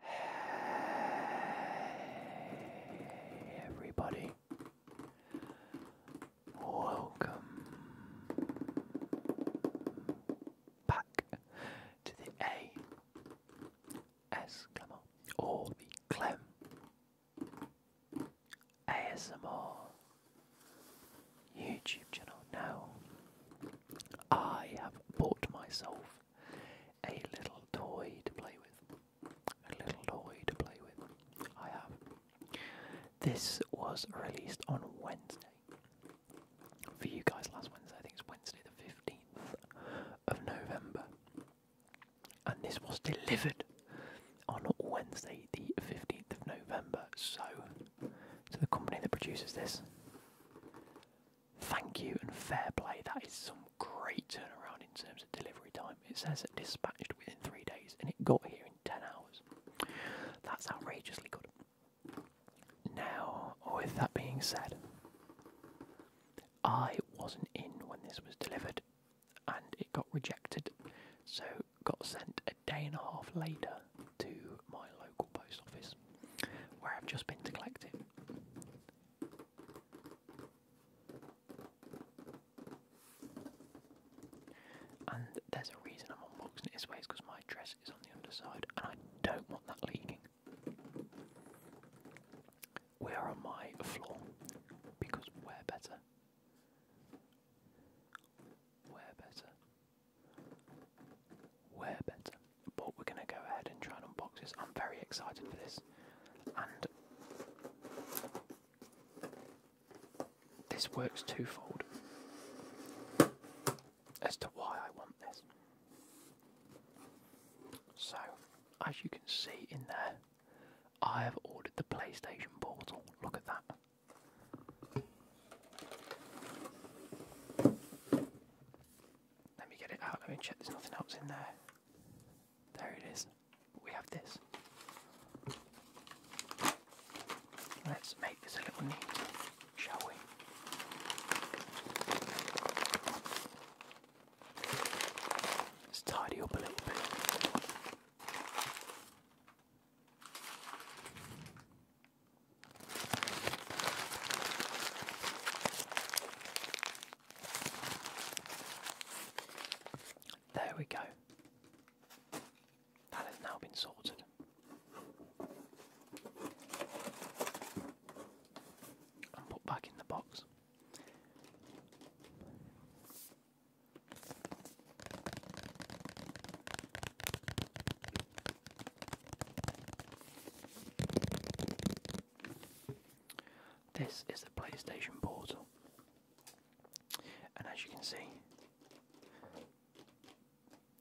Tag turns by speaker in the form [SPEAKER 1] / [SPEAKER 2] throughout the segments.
[SPEAKER 1] Hey everybody. Welcome back to the A S Clemmer or the Clem ASMR YouTube channel. Now I have bought myself a little toy to play with. A little toy to play with. I have. This was released on Wednesday. For you guys, last Wednesday, I think it's Wednesday the 15th of November. And this was delivered on Wednesday the 15th of November. So, to the company that produces this, Thank you and fair play. That is some great turnaround in terms of delivery time. It says it dispatched within three days and it got here in 10 hours. That's outrageously good. Now, with that being said, I wasn't in when this was delivered and it got rejected, so got sent a day and a half later to my local post office where I've just been to collect it. And there's a reason I'm unboxing this way, is because my dress is on the underside and I don't want that leaking. We are my floor because we better. we better. we better but we're going to go ahead and try and unbox this. I'm very excited for this, and this works twofold as to why I want this. So, as you can see in there, I have ordered the PlayStation Portal. Look at that. Let me get it out. Let me check there's nothing else in there. There it is. We have this. Let's make this a little neat, shall we? Let's tidy up a little bit. There we go. That has now been sorted. And put back in the box. This is the PlayStation Portal, and as you can see,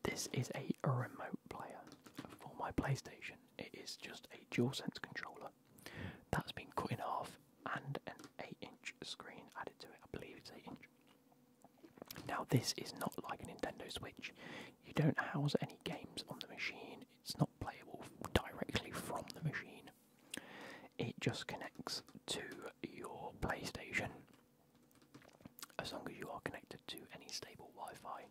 [SPEAKER 1] this is a remote player for my PlayStation. It is just a DualSense controller that's been cut in half and an 8 inch screen added to it. I believe it's 8 inch. Now, this is not like a Nintendo Switch, you don't house any games on the machine, it's not playable directly from the machine. It just connects to your PlayStation. As long as you are connected to any stable Wi Fi,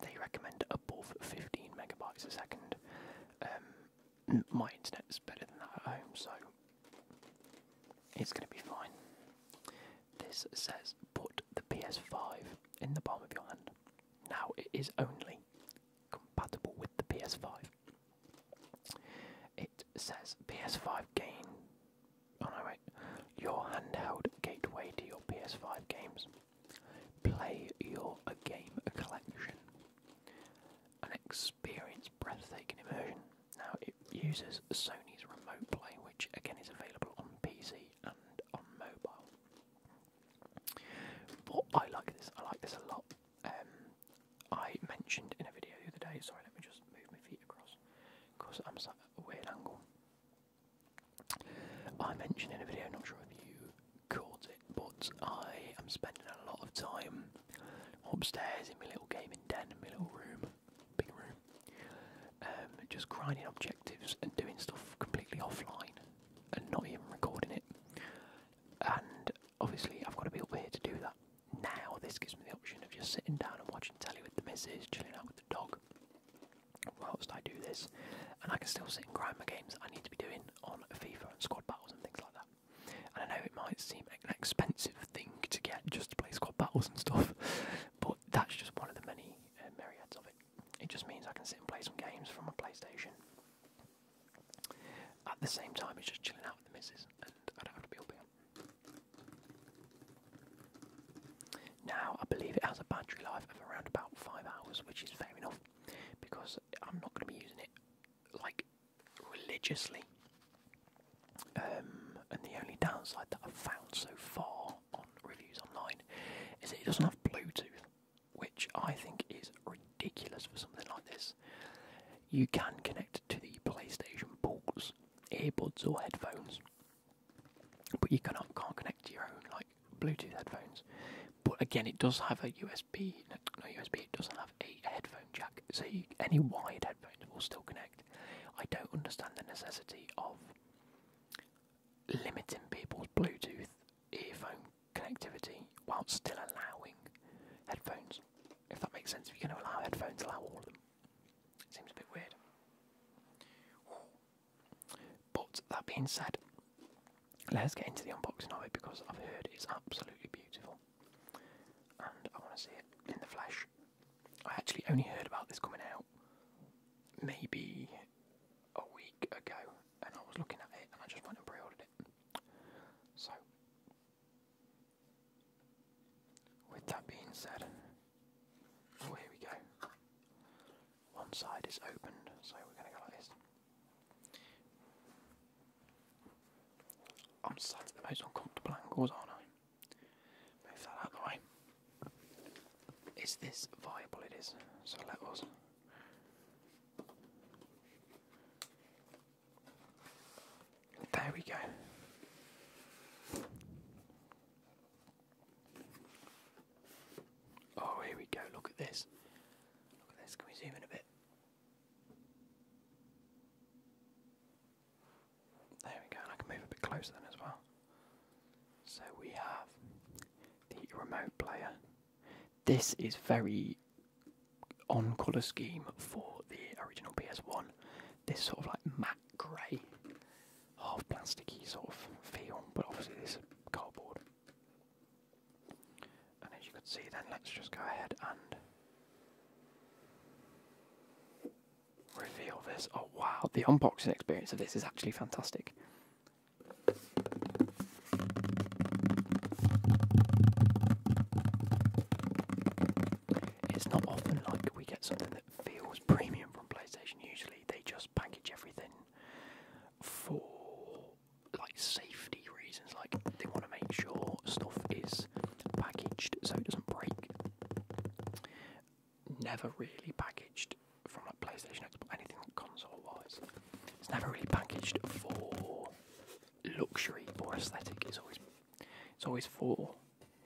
[SPEAKER 1] they recommend above 15 megabytes a second. Um, my internet's better than that at home, so it's going to be fine. This says put the PS5 in the palm of your hand. Now it is only compatible with the PS5. It says PS5 gain. Oh no, wait. Your handheld gateway to your PS5 games. Play your game collection. An experience breathtaking immersion. Now it uses Sony's Remote Play, which again is available on PC on mobile. But I like this. I like this a lot. Um, I mentioned in a video the other day. Sorry, let me just move my feet across because I'm sat at a weird angle. I mentioned in a video. Not sure if you caught it, but I am spending a lot of time upstairs in my little gaming den in my little room big room. Um, just grinding objectives and doing stuff completely offline and not even recording it. And obviously, I've got to be up here to do that. Now, this gives me the option of just sitting down and watching telly with the missus, chilling out with the dog whilst I do this. And I can still sit and grind my games I need to be doing on FIFA and squad battles and things like that. And I know it might seem an expensive thing to get just to play squad battles and stuff, but that's just one of the many uh, myriads of it. It just means I can sit and play some games from my PlayStation. At the same time, it's just chilling out with the missus, Now, I believe it has a battery life of around about five hours, which is fair enough, because I'm not going to be using it like religiously. Um, and the only downside that I've found so far on reviews online is that it doesn't have Bluetooth, which I think is ridiculous for something like this. You can connect to the PlayStation ports, earbuds or headphones, but you cannot, can't connect to your own like Bluetooth headphones. But again, it does have a USB, no, USB, it doesn't have a headphone jack, so any wired headphones will still connect. I don't understand the necessity of limiting people's Bluetooth earphone connectivity while still allowing headphones. If that makes sense, if you're going to allow headphones, allow all of them. It Seems a bit weird. But that being said, let's get into the unboxing of it because I've heard it's absolutely beautiful and I want to see it in the flesh. I actually only heard about this coming out maybe a week ago, and I was looking at it, and I just went and pre it. So, with that being said, oh, here we go. One side is opened, so we're going to go like this. I'm sat at the most uncomfortable angles, aren't I? Move that out the way. Is this viable? It is. So let us. There we go. Oh, here we go. Look at this. Look at this. Can we zoom in a bit? There we go, I can move a bit closer then as well. So we have the remote player. This is very on colour scheme for the original PS1. This sort of like matte grey, half plasticky sort of feel, but obviously this is cardboard. And as you can see, then let's just go ahead and reveal this. Oh wow, the unboxing experience of this is actually fantastic. It's not often like we get something that feels premium from PlayStation. Usually they just package everything for like safety reasons, like they want to make sure stuff is packaged so it doesn't break never really packaged from like PlayStation, Xbox, anything console-wise. It's never really packaged for luxury or aesthetic. It's always it's always for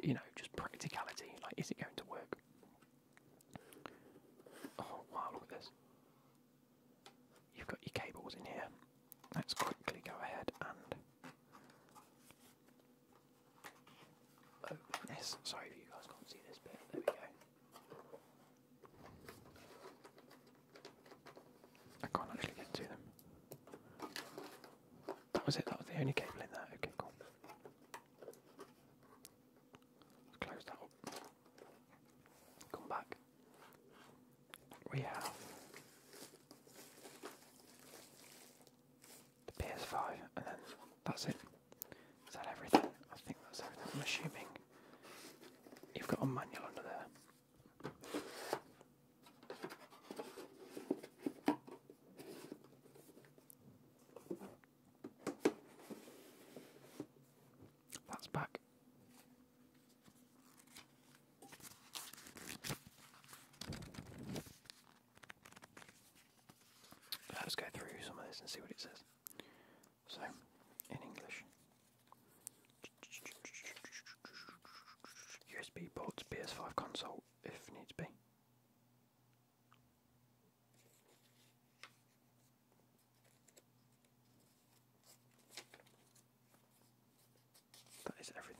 [SPEAKER 1] you know just practicality. Like, is it going to work? Oh wow! Look at this. You've got your cables in here. Let's quickly go ahead and Oh, yes, sorry if you guys can't see this bit. There we go. I can't actually get to them. That was it, that was the only cable in there. Okay, cool. Close that up. Come back. We have the PS5, and then that's it. Is that everything? I think that's everything. I'm assuming you've got a manual under there. That's back. Let's go through some of this and see what it says. So, in English. USB ports, PS5 console, if needs be. That is everything.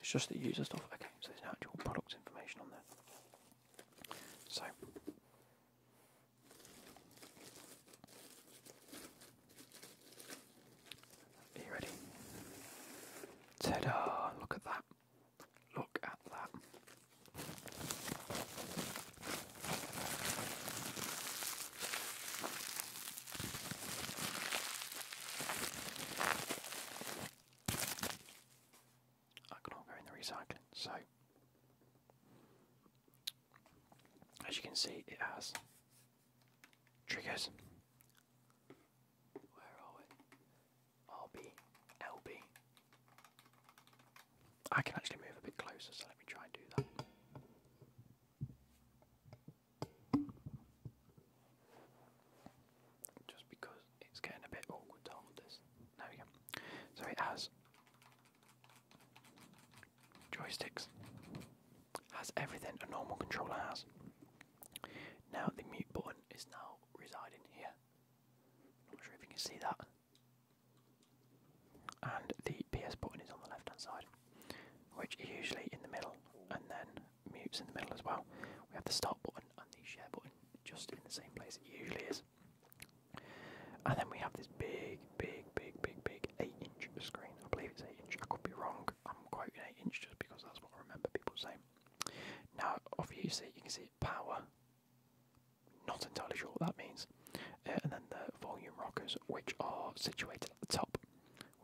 [SPEAKER 1] It's just the user stuff. Okay, so there's no actual product information on there. So. Are you ready? ta Look at that. Look at that. I can go in the recycling. So, as you can see, it has triggers. Where are we? RB, I can actually move a bit closer, so let me try and do that. Just because it's getting a bit awkward to hold this. There we go. So it has joysticks, has everything a normal controller has. Now the mute button is now residing here. Not sure if you can see that. And the PS button is on the left hand side, which is usually in the middle, and then mutes in the middle as well. We have the start button and the share button just in the same place it usually is. And then we have this big, big, big, big, big 8 inch screen. I believe it's 8 inch. I could be wrong. I'm quoting 8 inch just because that's what I remember people saying. Now, off you see, you can see power. Not entirely sure what that means. Uh, and then the volume rockers, which are situated at the top.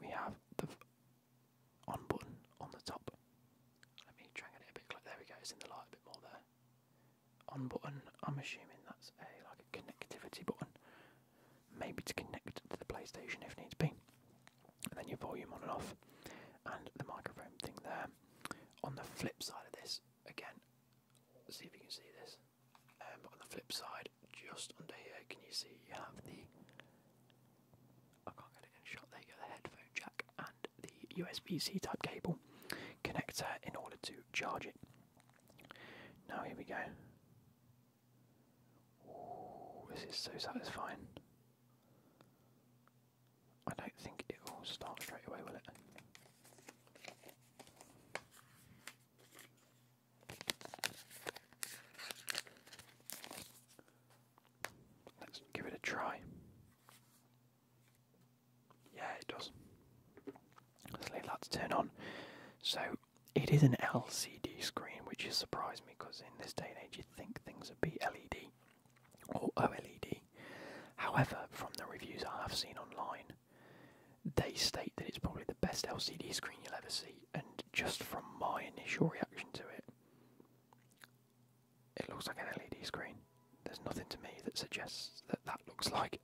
[SPEAKER 1] We have the on button on the top. Let me drag it a bit closer. There we go. It's in the light a bit more there. On button. I'm assuming that's a like a connectivity button, maybe to connect to the PlayStation if needs be. And then your volume on and off, and the microphone thing there. On the flip side of this, again, see if you can see this. Um, on the flip side, just under here, can you see you have the I can't get it in shot. There you go, the headphone jack and the USB C type cable connector in order to charge it. Now, here we go. this is so satisfying. I don't think it will start straight away, will it? Let's give it a try. Yeah, it does. Let's leave to turn on. So, it is an LCD screen, which is surprising because in this day and age you'd think things would be LED or OLED. However, from the reviews I have seen online, they state that it's probably the best LCD screen you'll ever see, and just from my initial reaction to it, it looks like an LED screen. There's nothing to me that suggests that that looks like.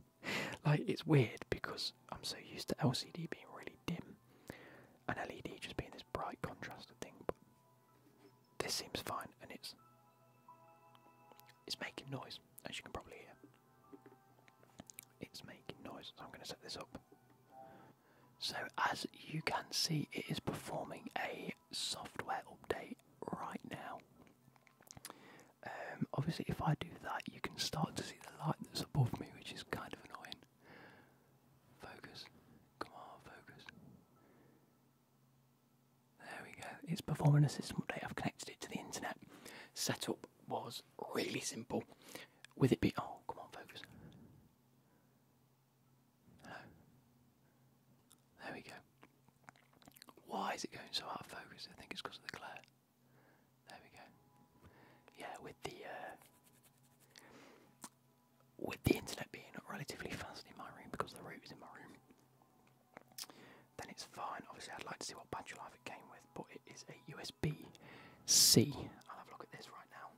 [SPEAKER 1] like it's weird because I'm so used to LCD being really dim, an LED just being this bright contrasted thing. But this seems fine, and it's it's making noise, as you can probably hear. It's making noise, I'm going to set this up so, as you can see, it is performing a software update right now. Um, obviously, if I do that, you can start to see the light that's above me, which is kind of annoying. Focus, come on, focus. There we go. It's performing a system update. I've connected it to the internet. Setup was really simple. With it being, oh, come on, focus. There we go. Why is it going so out of focus? I think it's because of the glare. There we go. Yeah, with the uh, with the internet being relatively fast in my room because the route in my room, then it's fine. Obviously, I'd like to see what battery life it came with, but it is a USB C. I'll have a look at this right now.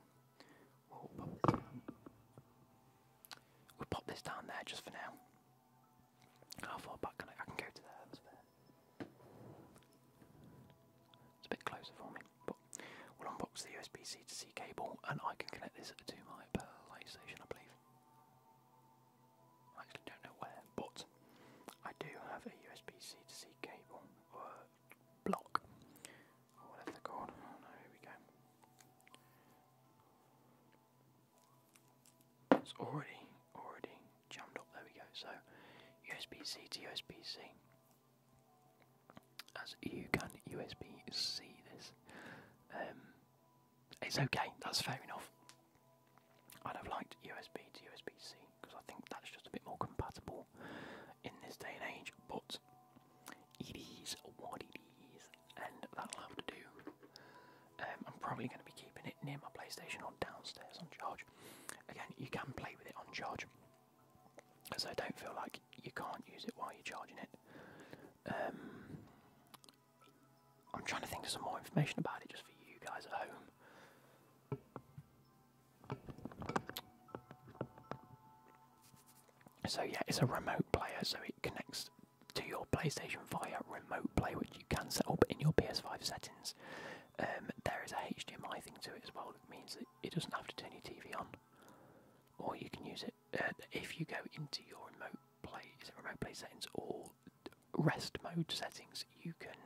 [SPEAKER 1] We'll pop this down. there just for now. How far back can I? can go to there. It's a bit closer for me, but we'll unbox the USB-C to C cable, and I can connect this to my light station, I believe. I actually don't know where, but I do have a USB-C to C cable, uh, block. Or oh, whatever they Oh no, here we go. It's already, already jammed up. There we go. So USB C to USB C. As you can USB C this. Um, it's okay. That's fair enough. I'd have liked USB to USB C because I think that's just a bit more compatible in this day and age. But EDs, what EDs, and that'll have to do. Um, I'm probably going to be keeping it near my PlayStation or downstairs on charge. Again, you can play with it on charge, so don't feel like you can't use it while you're charging it. Um, I'm trying to think of some more information about it just for you guys at home. So yeah, it's a remote player, so it connects to your PlayStation via remote play, which you can set up in your PS5 settings. Um, there is a HDMI thing to it as well. It means that it doesn't have to turn your TV on, or you can use it uh, if you go into your remote play. Is it remote play settings or rest mode settings? You can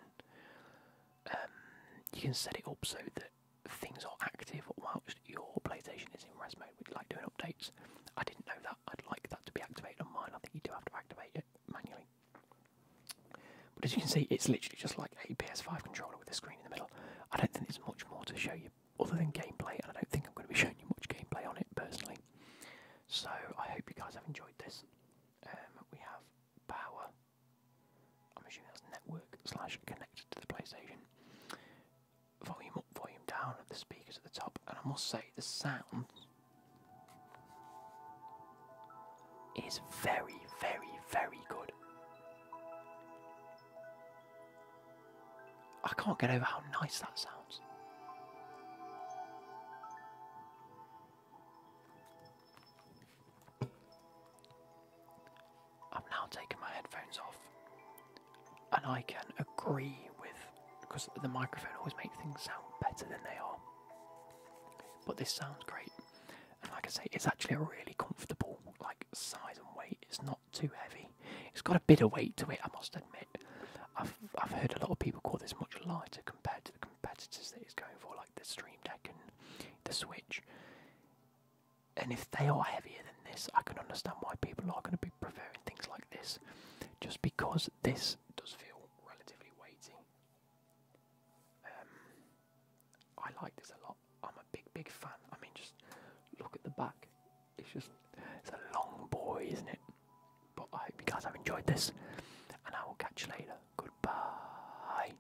[SPEAKER 1] um, you can set it up so that things are active whilst your PlayStation is in rest mode, which like doing updates. I didn't know that. I'd like that to be activated on mine. I think you do have to activate it manually. But as you can see, it's literally just like a PS5 controller with a screen in the middle. I don't think there's much more to show you other than gameplay, and I don't think I'm going to be showing you much gameplay on it personally. So I hope you guys have enjoyed this. Um, we have power. I'm assuming that's network slash connected to the PlayStation. Volume up, volume down of the speakers at the top, and I must say the sound is very, very, very good. I can't get over how nice that sounds. I'm now taking my headphones off and I can agree with because the microphone always makes things sound better than they are. But this sounds great. And like I say, it's actually a really comfortable like size and weight. It's not too heavy. It's got a bit of weight to it, I must admit. I've I've heard a lot of people call this much lighter compared to the competitors that it's going for, like the Stream Deck and the Switch and if they are heavier than this, I can understand why people are going to be preferring things like this, just because this does feel relatively weighty. Um, I like this a lot. I'm a big, big fan. I mean, just look at the back. It's just, it's a long boy, isn't it? But I hope you guys have enjoyed this, and I will catch you later. Goodbye.